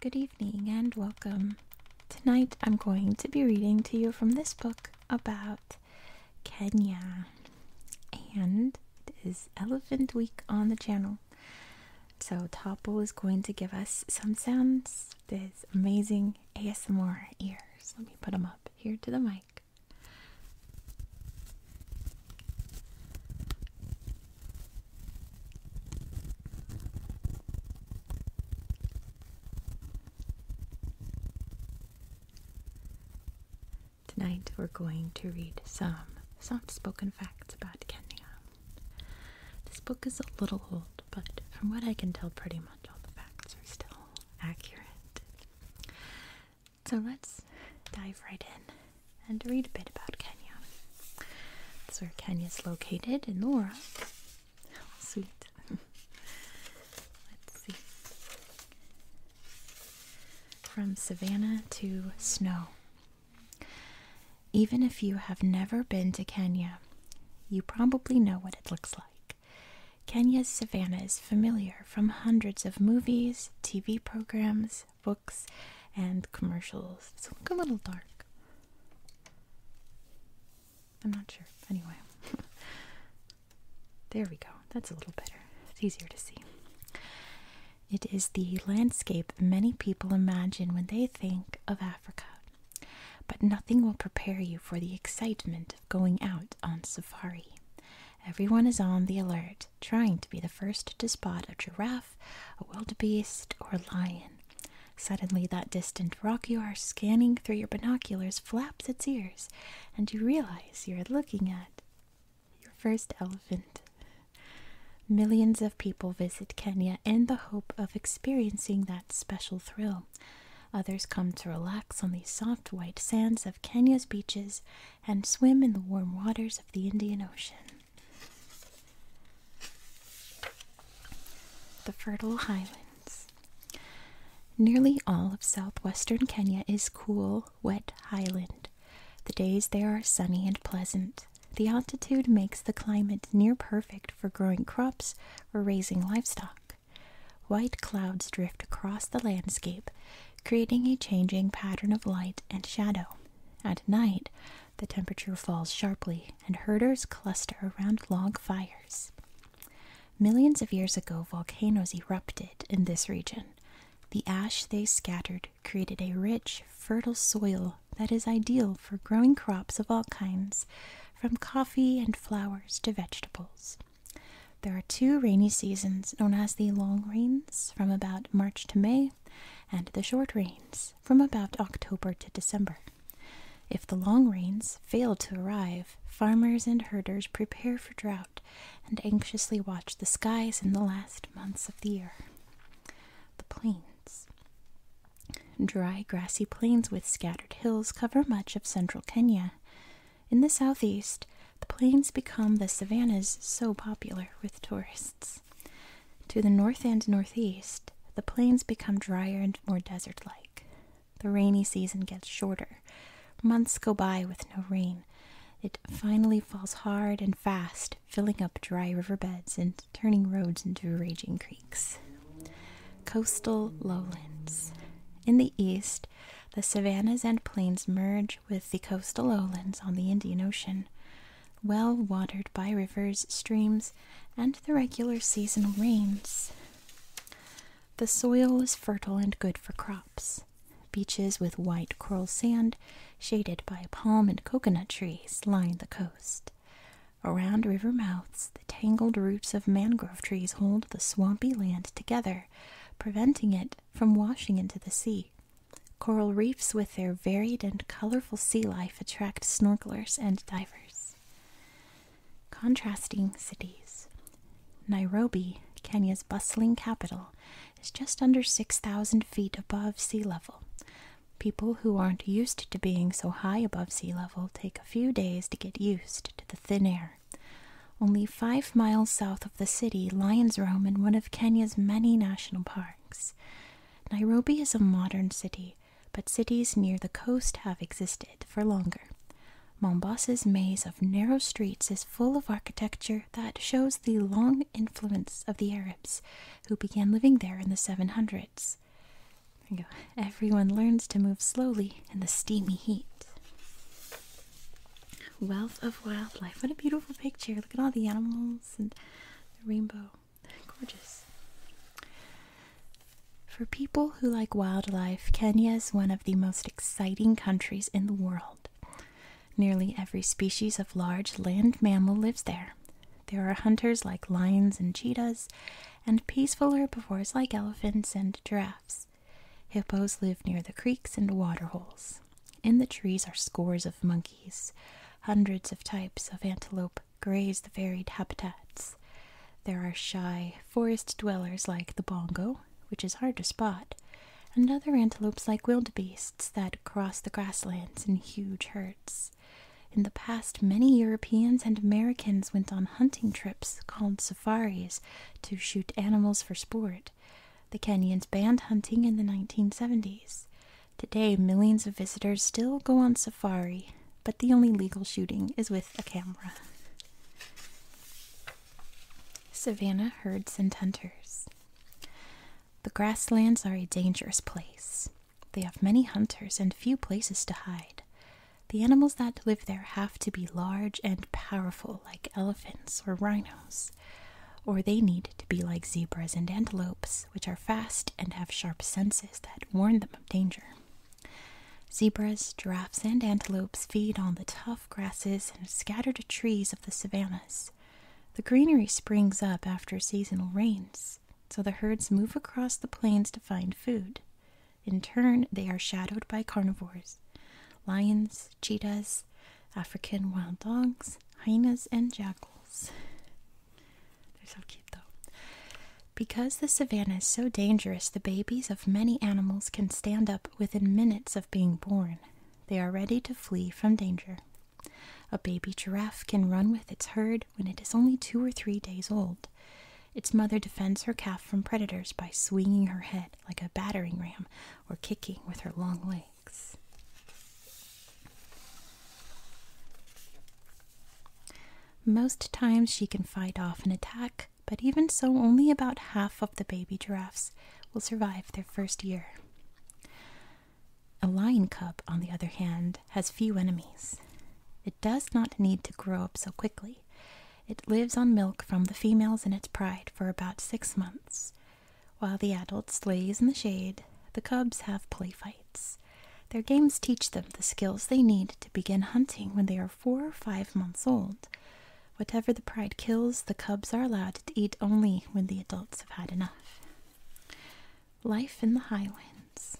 Good evening and welcome. Tonight I'm going to be reading to you from this book about Kenya. And it is Elephant Week on the channel. So Topple is going to give us some sounds. his amazing ASMR ears. Let me put them up here to the mic. Tonight we're going to read some soft spoken facts about Kenya. This book is a little old, but from what I can tell, pretty much all the facts are still accurate. So let's dive right in and read a bit about Kenya. That's where is located in Laura. Oh, sweet. let's see. From savannah to snow. Even if you have never been to Kenya, you probably know what it looks like. Kenya's savannah is familiar from hundreds of movies, TV programs, books, and commercials. It's a little dark. I'm not sure. Anyway. there we go. That's a little better. It's easier to see. It is the landscape many people imagine when they think of Africa. But nothing will prepare you for the excitement going out on safari. Everyone is on the alert, trying to be the first to spot a giraffe, a wildebeest, or lion. Suddenly, that distant rock you are scanning through your binoculars flaps its ears, and you realize you're looking at your first elephant. Millions of people visit Kenya in the hope of experiencing that special thrill, Others come to relax on the soft white sands of Kenya's beaches and swim in the warm waters of the Indian Ocean. The Fertile Highlands. Nearly all of southwestern Kenya is cool, wet highland. The days there are sunny and pleasant. The altitude makes the climate near perfect for growing crops or raising livestock. White clouds drift across the landscape, creating a changing pattern of light and shadow. At night, the temperature falls sharply, and herders cluster around log fires. Millions of years ago, volcanoes erupted in this region. The ash they scattered created a rich, fertile soil that is ideal for growing crops of all kinds, from coffee and flowers to vegetables. There are two rainy seasons known as the long rains from about March to May and the short rains from about October to December. If the long rains fail to arrive, farmers and herders prepare for drought and anxiously watch the skies in the last months of the year. The plains. Dry, grassy plains with scattered hills cover much of central Kenya. In the southeast, the plains become the savannas so popular with tourists. To the north and northeast, the plains become drier and more desert like. The rainy season gets shorter. Months go by with no rain. It finally falls hard and fast, filling up dry river beds and turning roads into raging creeks. Coastal lowlands. In the east, the savannas and plains merge with the coastal lowlands on the Indian Ocean, well watered by rivers, streams, and the regular seasonal rains. The soil is fertile and good for crops. Beaches with white coral sand, shaded by palm and coconut trees, line the coast. Around river mouths, the tangled roots of mangrove trees hold the swampy land together, preventing it from washing into the sea. Coral reefs, with their varied and colorful sea life, attract snorkelers and divers. Contrasting cities Nairobi, Kenya's bustling capital, is just under 6,000 feet above sea level. People who aren't used to being so high above sea level take a few days to get used to the thin air only five miles south of the city, lions roam in one of Kenya's many national parks. Nairobi is a modern city, but cities near the coast have existed for longer. Mombasa's maze of narrow streets is full of architecture that shows the long influence of the Arabs who began living there in the 700s. There you go. Everyone learns to move slowly in the steamy heat. Wealth of wildlife. What a beautiful picture. Look at all the animals and the rainbow. Gorgeous. For people who like wildlife, Kenya is one of the most exciting countries in the world. Nearly every species of large land mammal lives there. There are hunters like lions and cheetahs, and peaceful herbivores like elephants and giraffes hippos. live near the creeks and waterholes. In the trees are scores of monkeys. Hundreds of types of antelope graze the varied habitats. There are shy forest dwellers like the bongo, which is hard to spot, and other antelopes like wildebeests that cross the grasslands in huge herds. In the past, many Europeans and Americans went on hunting trips called safaris to shoot animals for sport, the Kenyans banned hunting in the 1970s. Today, millions of visitors still go on safari, but the only legal shooting is with a camera. Savannah herds and hunters. The grasslands are a dangerous place. They have many hunters and few places to hide. The animals that live there have to be large and powerful, like elephants or rhinos, or they need to be like zebras and antelopes, which are fast and have sharp senses that warn them of danger. Zebras, giraffes, and antelopes feed on the tough grasses and scattered trees of the savannas. The greenery springs up after seasonal rains, so the herds move across the plains to find food. In turn, they are shadowed by carnivores lions, cheetahs, African wild dogs, hyenas, and jackals. They're so cute, though. Because the savanna is so dangerous, the babies of many animals can stand up within minutes of being born. They are ready to flee from danger. A baby giraffe can run with its herd when it is only two or three days old. Its mother defends her calf from predators by swinging her head like a battering ram or kicking with her long legs. Most times she can fight off an attack, but even so, only about half of the baby giraffes will survive their first year. A lion cub, on the other hand, has few enemies. It does not need to grow up so quickly. It lives on milk from the females in its pride for about six months. While the adults slays in the shade, the cubs have play fights. Their games teach them the skills they need to begin hunting when they are four or five months old. Whatever the pride kills, the cubs are allowed to eat only when the adults have had enough. Life in the Highlands.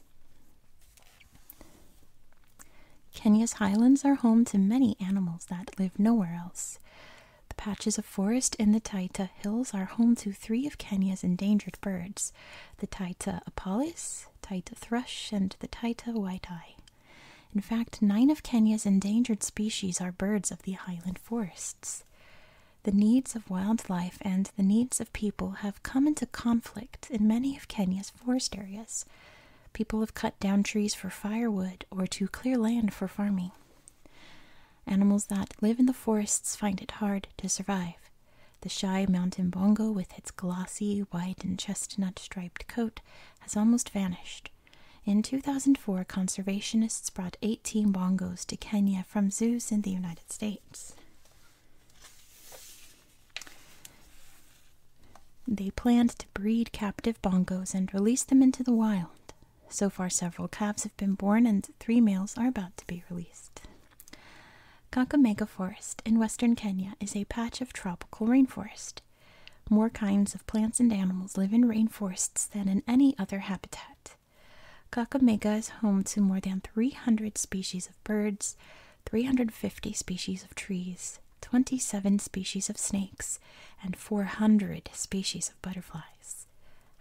Kenya's highlands are home to many animals that live nowhere else. The patches of forest in the Taita Hills are home to three of Kenya's endangered birds the Taita apalis, Taita thrush, and the Taita white-eye. In fact, nine of Kenya's endangered species are birds of the highland forests. The needs of wildlife and the needs of people have come into conflict in many of Kenya's forest areas. People have cut down trees for firewood or to clear land for farming. Animals that live in the forests find it hard to survive. The shy mountain bongo, with its glossy white and chestnut striped coat, has almost vanished. In 2004, conservationists brought 18 bongos to Kenya from zoos in the United States. They planned to breed captive bongos and release them into the wild. So far, several calves have been born, and three males are about to be released. Kakamega Forest in western Kenya is a patch of tropical rainforest. More kinds of plants and animals live in rainforests than in any other habitat. Kakamega is home to more than 300 species of birds, 350 species of trees, 27 species of snakes, and 400 species of butterflies.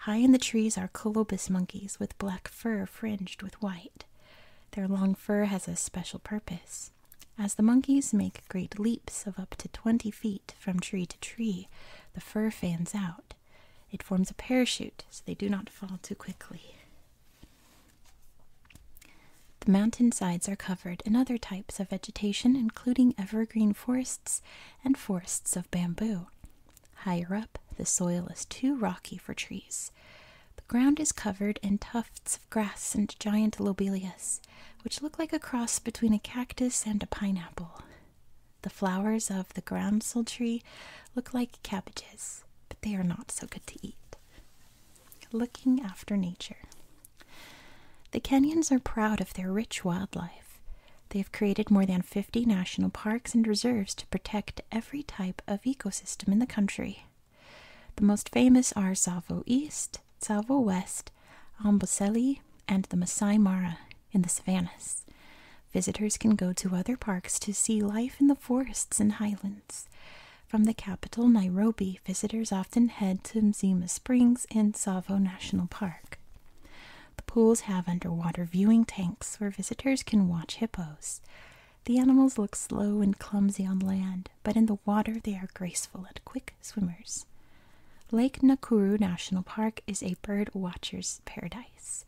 High in the trees are colobus monkeys with black fur fringed with white. Their long fur has a special purpose. As the monkeys make great leaps of up to 20 feet from tree to tree, the fur fans out. It forms a parachute so they do not fall too quickly. The mountain sides are covered in other types of vegetation, including evergreen forests and forests of bamboo. Higher up, the soil is too rocky for trees. The ground is covered in tufts of grass and giant lobelias, which look like a cross between a cactus and a pineapple. The flowers of the groundsel tree look like cabbages, but they are not so good to eat looking after nature. The Kenyans are proud of their rich wildlife. They have created more than 50 national parks and reserves to protect every type of ecosystem in the country. The most famous are Tsavo East, Tsavo West, Amboseli, and the Masai Mara in the savannas. Visitors can go to other parks to see life in the forests and highlands. From the capital, Nairobi, visitors often head to Mzima Springs in Tsavo National Park. The pools have underwater viewing tanks where visitors can watch hippos. The animals look slow and clumsy on land, but in the water they are graceful and quick swimmers. Lake Nakuru National Park is a bird watcher's paradise.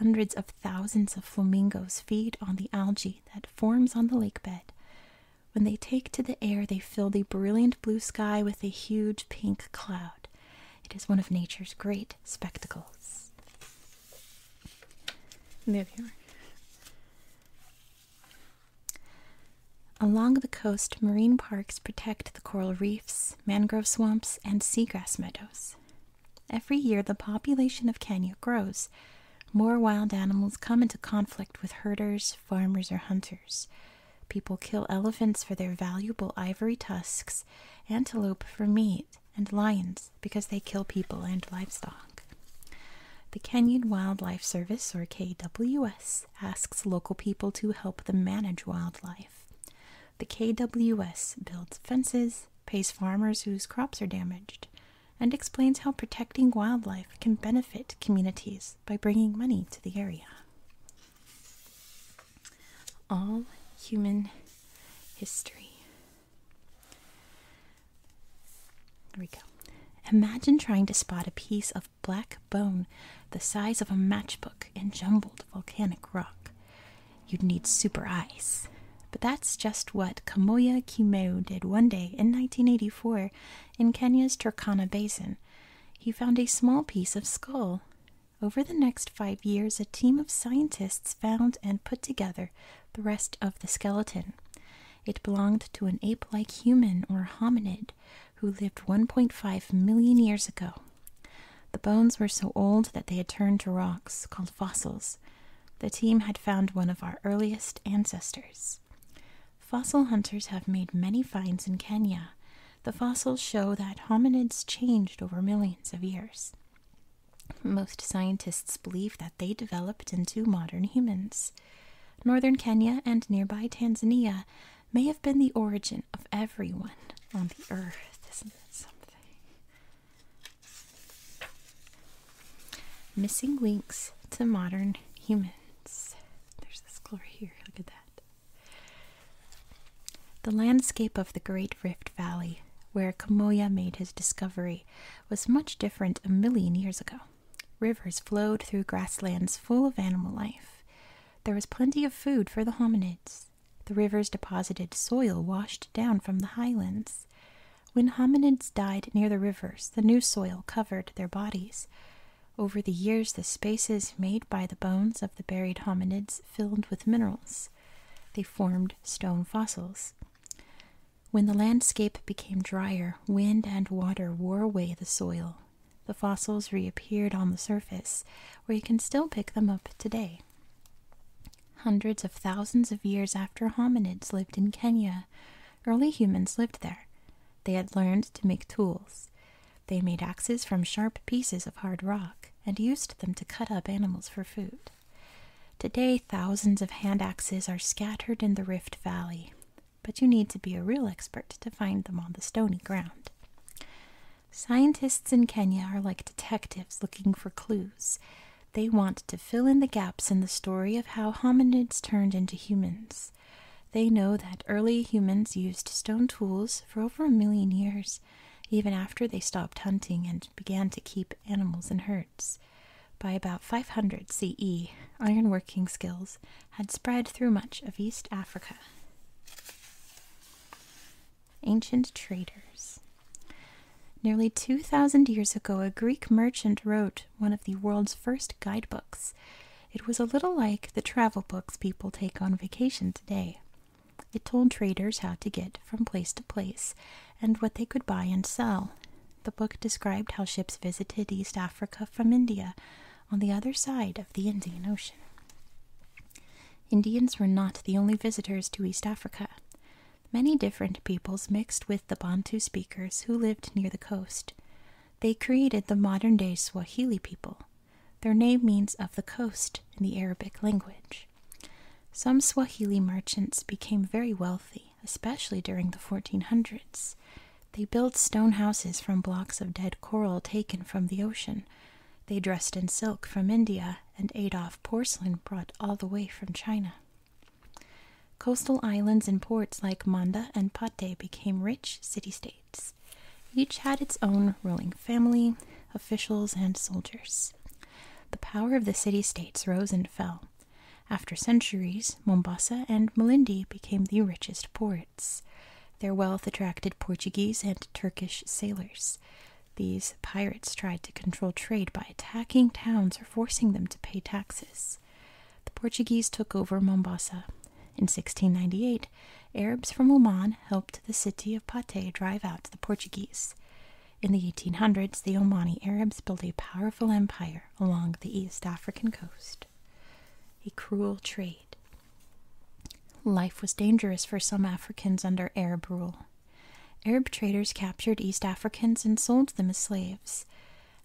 Hundreds of thousands of flamingos feed on the algae that forms on the lake bed. When they take to the air, they fill the brilliant blue sky with a huge pink cloud. It is one of nature's great spectacles. And here. Along the coast, marine parks protect the coral reefs, mangrove swamps, and seagrass meadows. Every year, the population of Kenya grows. More wild animals come into conflict with herders, farmers, or hunters. People kill elephants for their valuable ivory tusks, antelope for meat, and lions because they kill people and livestock. The Kenyan Wildlife Service, or KWS, asks local people to help them manage wildlife. The KWS builds fences, pays farmers whose crops are damaged, and explains how protecting wildlife can benefit communities by bringing money to the area. All human history. There we go. Imagine trying to spot a piece of black bone the size of a matchbook in jumbled volcanic rock. You'd need super eyes. But that's just what Kamoya Kimeu did one day in 1984 in Kenya's Turkana Basin. He found a small piece of skull. Over the next five years, a team of scientists found and put together the rest of the skeleton. It belonged to an ape like human or hominid who lived 1.5 million years ago. The bones were so old that they had turned to rocks, called fossils. The team had found one of our earliest ancestors. Fossil hunters have made many finds in Kenya. The fossils show that hominids changed over millions of years. Most scientists believe that they developed into modern humans. Northern Kenya and nearby Tanzania may have been the origin of everyone on the earth. Isn't that something? Missing links to modern humans. There's this glory here. Look at that. The landscape of the Great Rift Valley, where Kamoya made his discovery, was much different a million years ago. Rivers flowed through grasslands full of animal life. There was plenty of food for the hominids. The rivers deposited soil washed down from the highlands. When hominids died near the rivers, the new soil covered their bodies. Over the years, the spaces made by the bones of the buried hominids filled with minerals. They formed stone fossils. When the landscape became drier, wind and water wore away the soil. The fossils reappeared on the surface, where you can still pick them up today. Hundreds of thousands of years after hominids lived in Kenya, early humans lived there. They had learned to make tools. They made axes from sharp pieces of hard rock and used them to cut up animals for food. Today, thousands of hand axes are scattered in the Rift Valley, but you need to be a real expert to find them on the stony ground. Scientists in Kenya are like detectives looking for clues. They want to fill in the gaps in the story of how hominids turned into humans. They know that early humans used stone tools for over a million years, even after they stopped hunting and began to keep animals in herds. By about 500 CE, ironworking skills had spread through much of East Africa. Ancient traders. Nearly 2,000 years ago, a Greek merchant wrote one of the world's first guidebooks. It was a little like the travel books people take on vacation today. It told traders how to get from place to place and what they could buy and sell. The book described how ships visited East Africa from India on the other side of the Indian Ocean. Indians were not the only visitors to East Africa many different peoples mixed with the Bantu speakers who lived near the coast. They created the modern day Swahili people. Their name means of the coast in the Arabic language. Some Swahili merchants became very wealthy, especially during the 1400s. They built stone houses from blocks of dead coral taken from the ocean. They dressed in silk from India and ate off porcelain brought all the way from China. Coastal islands and ports like Manda and Pate became rich city states. Each had its own ruling family, officials, and soldiers. The power of the city states rose and fell. After centuries, Mombasa and Malindi became the richest ports. Their wealth attracted Portuguese and Turkish sailors. These pirates tried to control trade by attacking towns or forcing them to pay taxes. The Portuguese took over Mombasa. In 1698, Arabs from Oman helped the city of Pate drive out the Portuguese. In the 1800s, the Omani Arabs built a powerful empire along the East African coast. A cruel trade. Life was dangerous for some Africans under Arab rule. Arab traders captured East Africans and sold them as slaves.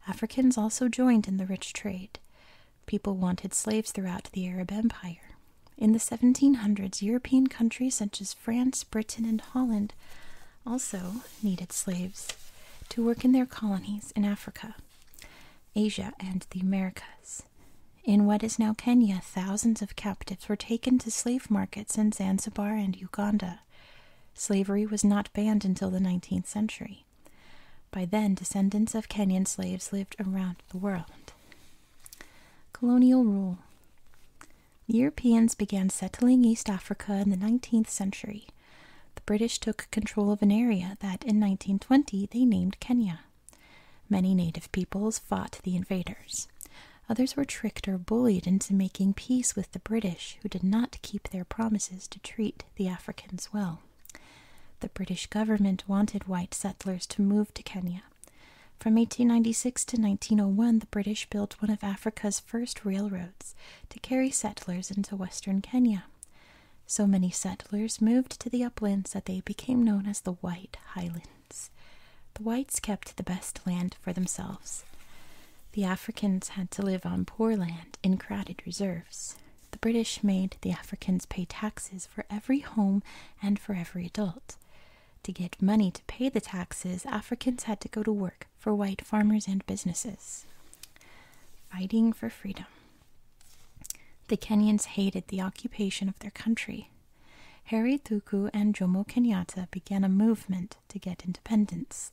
Africans also joined in the rich trade. People wanted slaves throughout the Arab Empire. In the 1700s, European countries such as France, Britain, and Holland also needed slaves to work in their colonies in Africa, Asia, and the Americas. In what is now Kenya, thousands of captives were taken to slave markets in Zanzibar and Uganda. Slavery was not banned until the 19th century. By then, descendants of Kenyan slaves lived around the world. Colonial rule. Europeans began settling East Africa in the 19th century. The British took control of an area that in 1920 they named Kenya. Many native peoples fought the invaders. Others were tricked or bullied into making peace with the British, who did not keep their promises to treat the Africans well. The British government wanted white settlers to move to Kenya. From 1896 to 1901, the British built one of Africa's first railroads to carry settlers into western Kenya. So many settlers moved to the uplands that they became known as the White Highlanders. The whites kept the best land for themselves. The Africans had to live on poor land in crowded reserves. The British made the Africans pay taxes for every home and for every adult. To get money to pay the taxes, Africans had to go to work for white farmers and businesses. Fighting for freedom. The Kenyans hated the occupation of their country. Thuku and Jomo Kenyatta began a movement to get independence.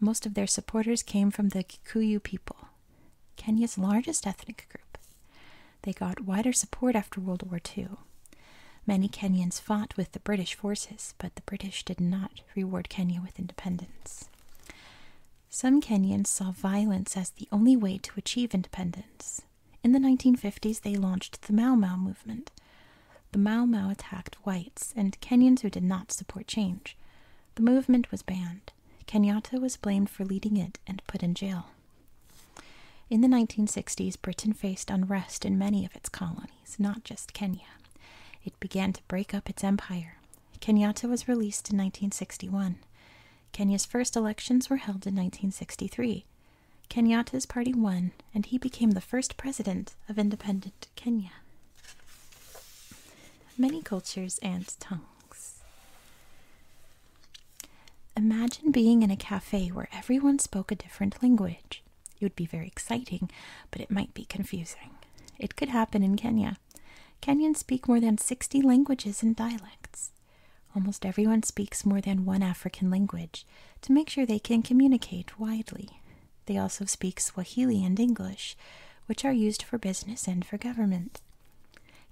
Most of their supporters came from the Kikuyu people, Kenya's largest ethnic group. They got wider support after World War II. Many Kenyans fought with the British forces, but the British did not reward Kenya with independence. Some Kenyans saw violence as the only way to achieve independence. In the 1950s, they launched the Mau Mau movement. The Mau Mau attacked whites and Kenyans who did not support change. The movement was banned. Kenyatta was blamed for leading it and put in jail. In the 1960s, Britain faced unrest in many of its colonies, not just Kenya. It began to break up its empire. Kenyatta was released in 1961. Kenya's first elections were held in 1963. Kenyatta's party won, and he became the first president of independent Kenya. Many cultures and tongues. Imagine being in a cafe where everyone spoke a different language. It would be very exciting, but it might be confusing. It could happen in Kenya. Kenyans speak more than 60 languages and dialects. Almost everyone speaks more than one African language, to make sure they can communicate widely. They also speak Swahili and English, which are used for business and for government.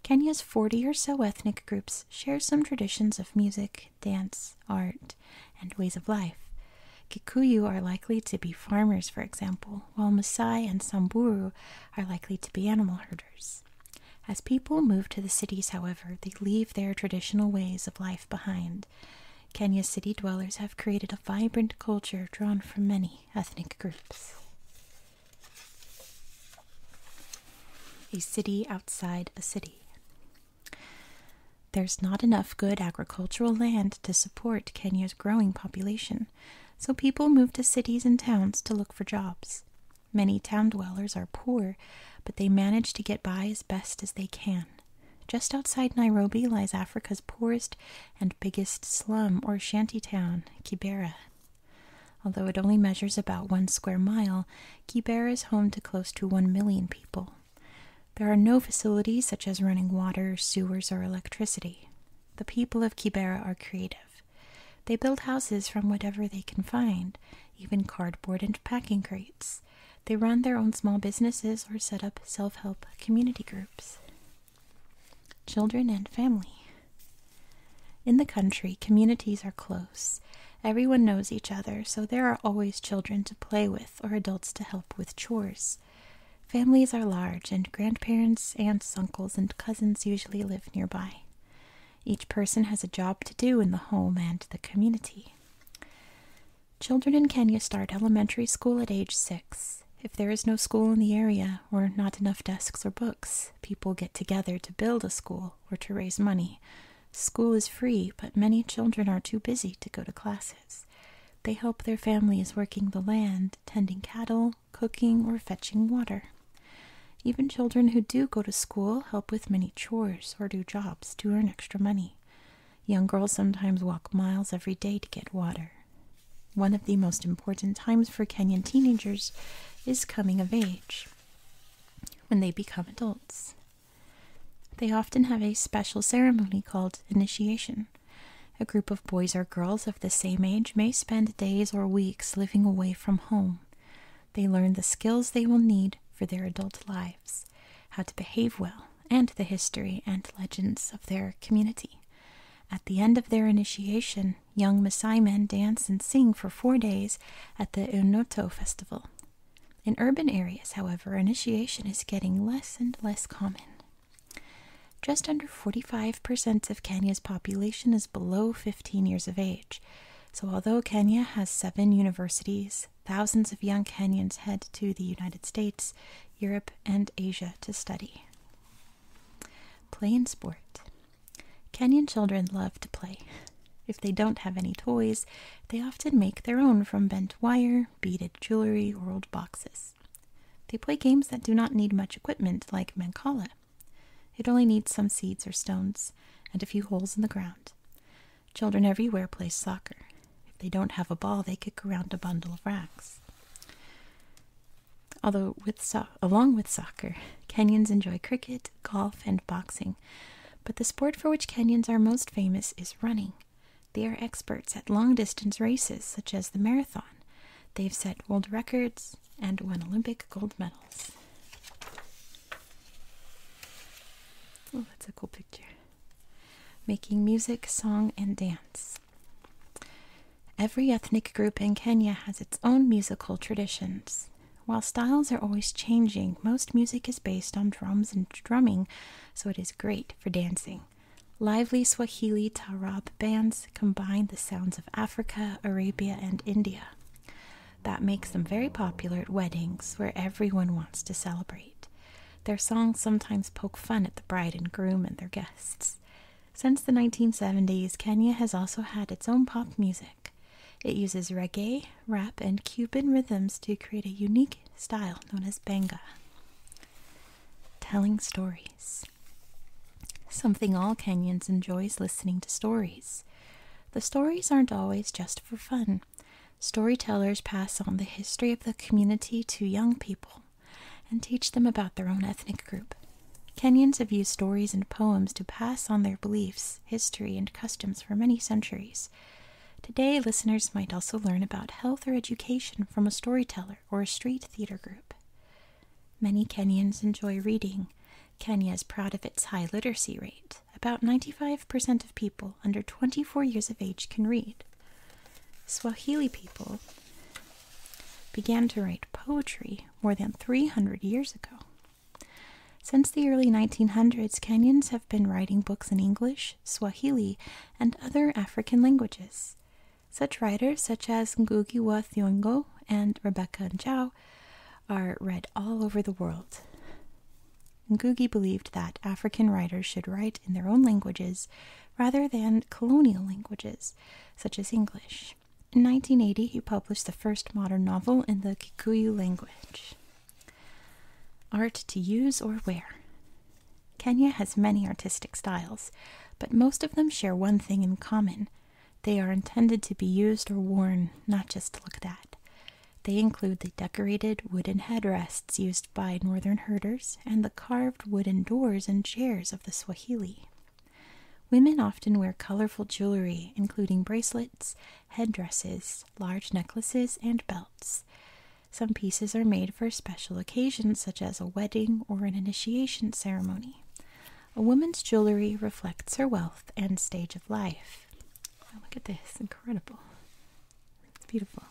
Kenya's 40 or so ethnic groups share some traditions of music, dance, art, and ways of life. Kikuyu are likely to be farmers, for example, while Maasai and Samburu are likely to be animal herders. As people move to the cities, however, they leave their traditional ways of life behind. Kenya's city dwellers have created a vibrant culture drawn from many ethnic groups. A city outside a city. There's not enough good agricultural land to support Kenya's growing population, so people move to cities and towns to look for jobs. Many town dwellers are poor but they manage to get by as best as they can. Just outside Nairobi lies Africa's poorest and biggest slum or shanty town, Kibera. Although it only measures about one square mile, Kibera is home to close to one million people. There are no facilities such as running water, sewers, or electricity. The people of Kibera are creative. They build houses from whatever they can find, even cardboard and packing crates. They run their own small businesses or set up self help community groups. Children and family. In the country, communities are close. Everyone knows each other, so there are always children to play with or adults to help with chores. Families are large, and grandparents, aunts, uncles, and cousins usually live nearby. Each person has a job to do in the home and the community. Children in Kenya start elementary school at age six. If there is no school in the area or not enough desks or books, people get together to build a school or to raise money. School is free, but many children are too busy to go to classes. They help their families working the land, tending cattle, cooking, or fetching water. Even children who do go to school help with many chores or do jobs to earn extra money. Young girls sometimes walk miles every day to get water. One of the most important times for Kenyan teenagers is coming of age, when they become adults. They often have a special ceremony called initiation. A group of boys or girls of the same age may spend days or weeks living away from home they learn the skills they will need for their adult lives, how to behave well, and the history and legends of their community. At the end of their initiation, young Masai men dance and sing for four days at the Unoto festival. In urban areas, however, initiation is getting less and less common. Just under 45% of Kenya's population is below 15 years of age, so, although Kenya has seven universities, thousands of young Kenyans head to the United States, Europe, and Asia to study. Play and sport. Kenyan children love to play. If they don't have any toys, they often make their own from bent wire, beaded jewelry, or old boxes. They play games that do not need much equipment, like Mancala. It only needs some seeds or stones and a few holes in the ground. Children everywhere play soccer. If they don't have a ball, they kick around a bundle of rags. Although, with along with soccer, Kenyans enjoy cricket, golf, and boxing. But the sport for which Kenyans are most famous is running. They are experts at long distance races such as the marathon. They've set world records and won Olympic gold medals. Oh, that's a cool picture. Making music, song, and dance. Every ethnic group in Kenya has its own musical traditions. While styles are always changing, most music is based on drums and drumming, so it is great for dancing. Lively Swahili Tarab bands combine the sounds of Africa, Arabia, and India that makes them very popular at weddings where everyone wants to celebrate. Their songs sometimes poke fun at the bride and groom and their guests. Since the 1970s, Kenya has also had its own pop music. It uses reggae, rap, and Cuban rhythms to create a unique style known as benga. Telling stories. Something all Kenyans enjoys listening to stories. The stories aren't always just for fun. Storytellers pass on the history of the community to young people and teach them about their own ethnic group. Kenyans have used stories and poems to pass on their beliefs, history, and customs for many centuries. Today, listeners might also learn about health or education from a storyteller or a street theater group. Many Kenyans enjoy reading. Kenya is proud of its high literacy rate about 95% of people under 24 years of age can read. Swahili people began to write poetry more than 300 years ago. Since the early 1900s, Kenyans have been writing books in English, Swahili, and other African languages. Such writers, such as Ngugi wa Thiong'o and Rebecca Njau, are read all over the world. Ngugi believed that African writers should write in their own languages rather than colonial languages, such as English. In 1980, he published the first modern novel in the Kikuyu language. Art to use or wear. Kenya has many artistic styles, but most of them share one thing in common they are intended to be used or worn, not just looked at. They include the decorated wooden headrests used by northern herders and the carved wooden doors and chairs of the Swahili. Women often wear colorful jewelry, including bracelets, headdresses, large necklaces, and belts. Some pieces are made for special occasions, such as a wedding or an initiation ceremony. A woman's jewelry reflects her wealth and stage of life. Oh, look at this, incredible. It's beautiful.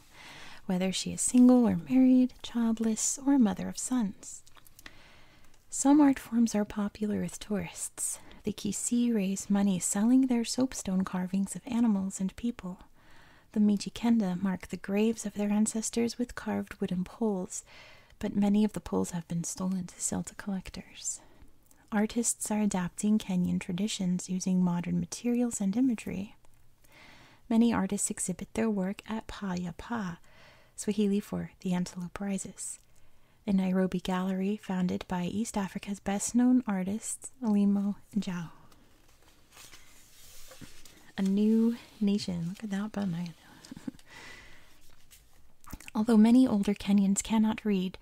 Whether she is single or married, childless, or a mother of sons. Some art forms are popular with tourists. The Kisi raise money selling their soapstone carvings of animals and people. The Mijikenda mark the graves of their ancestors with carved wooden poles, but many of the poles have been stolen to sell to collectors. Artists are adapting Kenyan traditions using modern materials and imagery. Many artists exhibit their work at Paya Pa, Swahili for the Antelope Rises, a Nairobi gallery founded by East Africa's best known artists, and Jao. A new nation. Look at that bun. Although many older Kenyans cannot read,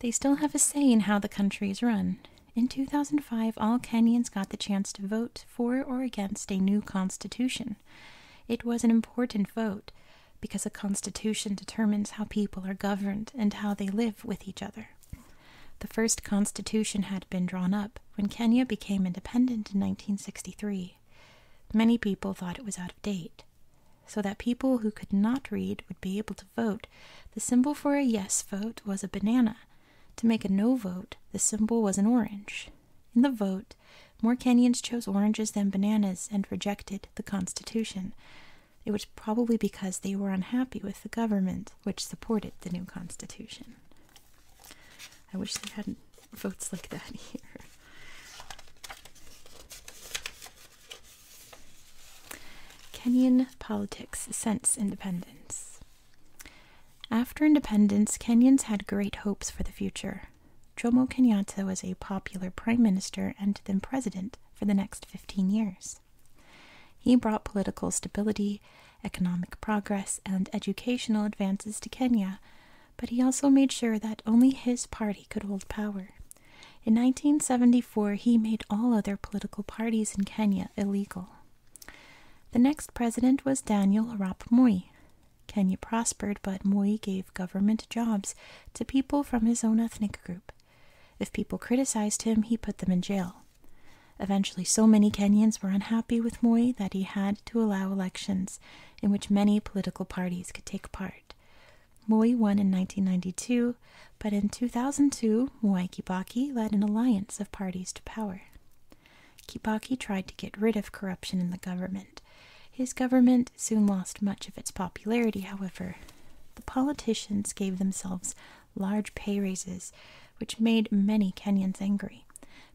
they still have a say in how the country is run. In 2005, all Kenyans got the chance to vote for or against a new constitution. It was an important vote because a constitution determines how people are governed and how they live with each other. The first constitution had been drawn up when Kenya became independent in 1963. Many people thought it was out of date. So that people who could not read would be able to vote, the symbol for a yes vote was a banana. To make a no vote, the symbol was an orange. In the vote, more Kenyans chose oranges than bananas and rejected the Constitution. It was probably because they were unhappy with the government, which supported the new Constitution. I wish they had votes like that here. Kenyan politics since independence. After independence, Kenyans had great hopes for the future. Jomo Kenyatta was a popular prime minister and then president for the next 15 years. He brought political stability, economic progress, and educational advances to Kenya, but he also made sure that only his party could hold power. In 1974, he made all other political parties in Kenya illegal. The next president was Daniel Arap Moi. Kenya prospered, but Moi gave government jobs to people from his own ethnic group. If people criticized him, he put them in jail. Eventually, so many Kenyans were unhappy with Moi that he had to allow elections in which many political parties could take part. Moi won in 1992, but in 2002, Mwai Kibaki led an alliance of parties to power. Kibaki tried to get rid of corruption in the government. His government soon lost much of its popularity, however. The politicians gave themselves large pay raises, which made many Kenyans angry.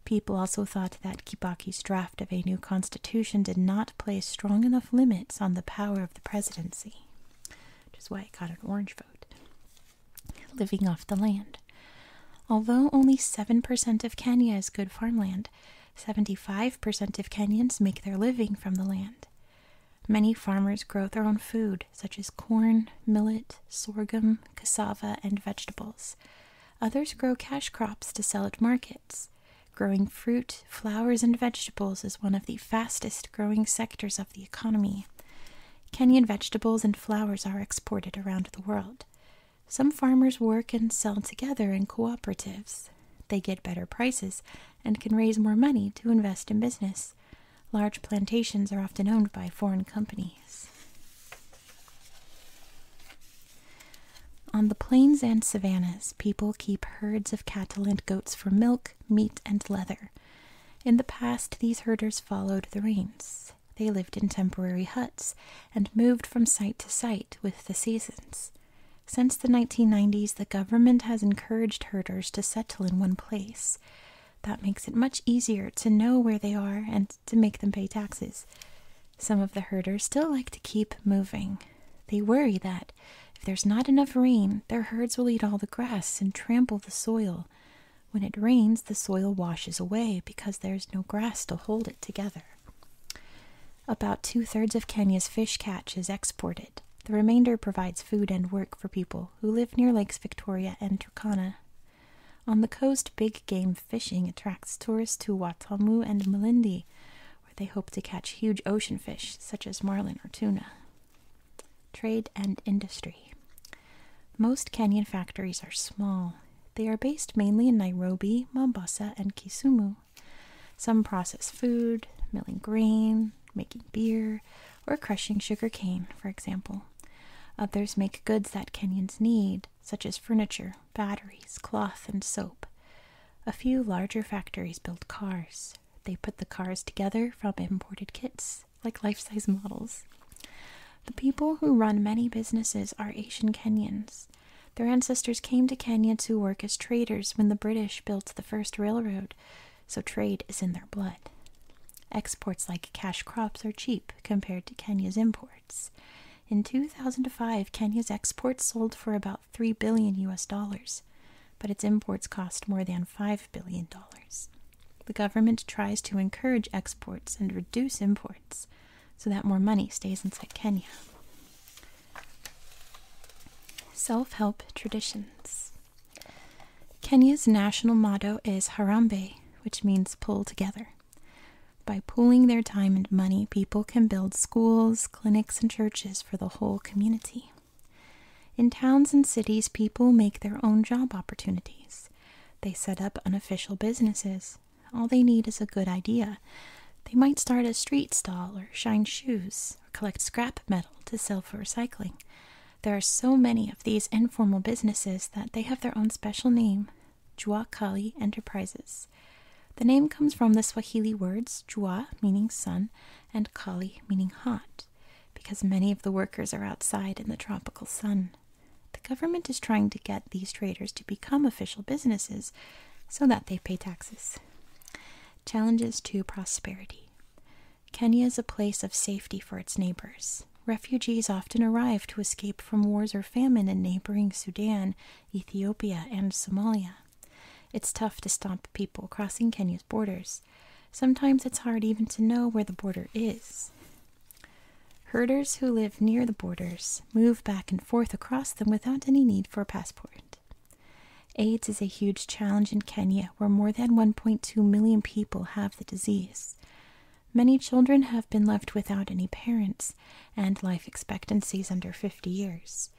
People also thought that Kibaki's draft of a new constitution did not place strong enough limits on the power of the presidency, which is why it got an orange vote, living off the land. Although only 7% of Kenya is good farmland, 75% of Kenyans make their living from the land. Many farmers grow their own food, such as corn, millet, sorghum, cassava, and vegetables. Others grow cash crops to sell at market. Growing fruit, flowers, and vegetables is one of the fastest growing sectors of the economy. Kenyan vegetables and flowers are exported around the world. Some farmers work and sell together in cooperatives. They get better prices and can raise more money to invest in business. Large plantations are often owned by foreign companies. On the plains and savannas, people keep herds of cattle and goats for milk, meat, and leather. In the past, these herders followed the rains. They lived in temporary huts and moved from site to site with the seasons. Since the 1990s, the government has encouraged herders to settle in one place. That makes it much easier to know where they are and to make them pay taxes. Some of the herders still like to keep moving, they worry that if there's not enough rain, their herds will eat all the grass and trample the soil. When it rains, the soil washes away because there's no grass to hold it together. About two thirds of Kenya's fish catch is exported. The remainder provides food and work for people who live near Lakes Victoria and Turkana. On the coast, big game fishing attracts tourists to Watamu and Malindi, they hope to catch huge ocean fish such as marlin or tuna. Trade and industry. Most Kenyan factories are small. They are based mainly in Nairobi, Mombasa, and Kisumu. Some process food, milling grain, making beer, or crushing sugar cane, for example. Others make goods that Kenyans need, such as furniture, batteries, cloth, and soap. A few larger factories build cars. They put the cars together from imported kits, like life size models. The people who run many businesses are Asian Kenyans. Their ancestors came to Kenya to work as traders when the British built the first railroad, so trade is in their blood. Exports like cash crops are cheap compared to Kenya's imports. In 2005, Kenya's exports sold for about 3 billion US dollars, but its imports cost more than 5 billion dollars. The government tries to encourage exports and reduce imports so that more money stays inside Kenya. Self help traditions. Kenya's national motto is Harambe, which means pull together. By pooling their time and money, people can build schools, clinics, and churches for the whole community. In towns and cities, people make their own job opportunities. They set up unofficial businesses. All they need is a good idea. They might start a street stall or shine shoes or collect scrap metal to sell for recycling. There are so many of these informal businesses that they have their own special name, Juakali Enterprises. The name comes from the Swahili words jua, meaning sun, and kali, meaning hot, because many of the workers are outside in the tropical sun. The government is trying to get these traders to become official businesses so that they pay taxes. Challenges to prosperity. Kenya is a place of safety for its neighbors. Refugees often arrive to escape from wars or famine in neighboring Sudan Ethiopia, and Somalia. It's tough to stop people crossing Kenya's borders. Sometimes it's hard even to know where the border is. Herders who live near the borders move back and forth across them without any need for a passport. AIDS is a huge challenge in Kenya, where more than 1.2 million people have the disease. Many children have been left without any parents and life expectancies under 50 years.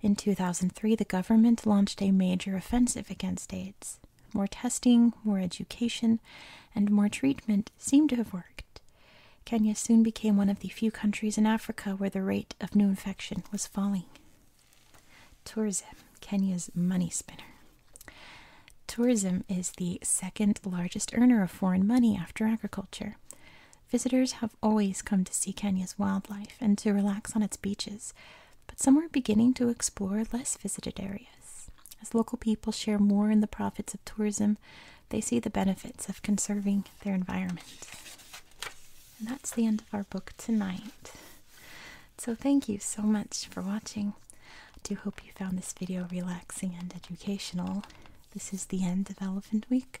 In 2003, the government launched a major offensive against AIDS. More testing, more education, and more treatment seemed to have worked. Kenya soon became one of the few countries in Africa where the rate of new infection was falling. Tourism, Kenya's money spinner. Tourism is the second largest earner of foreign money after agriculture. Visitors have always come to see Kenya's wildlife and to relax on its beaches, but some are beginning to explore less visited areas. As local people share more in the profits of tourism, they see the benefits of conserving their environment. And that's the end of our book tonight. So, thank you so much for watching. I do hope you found this video relaxing and educational. This is the end of Elephant Week.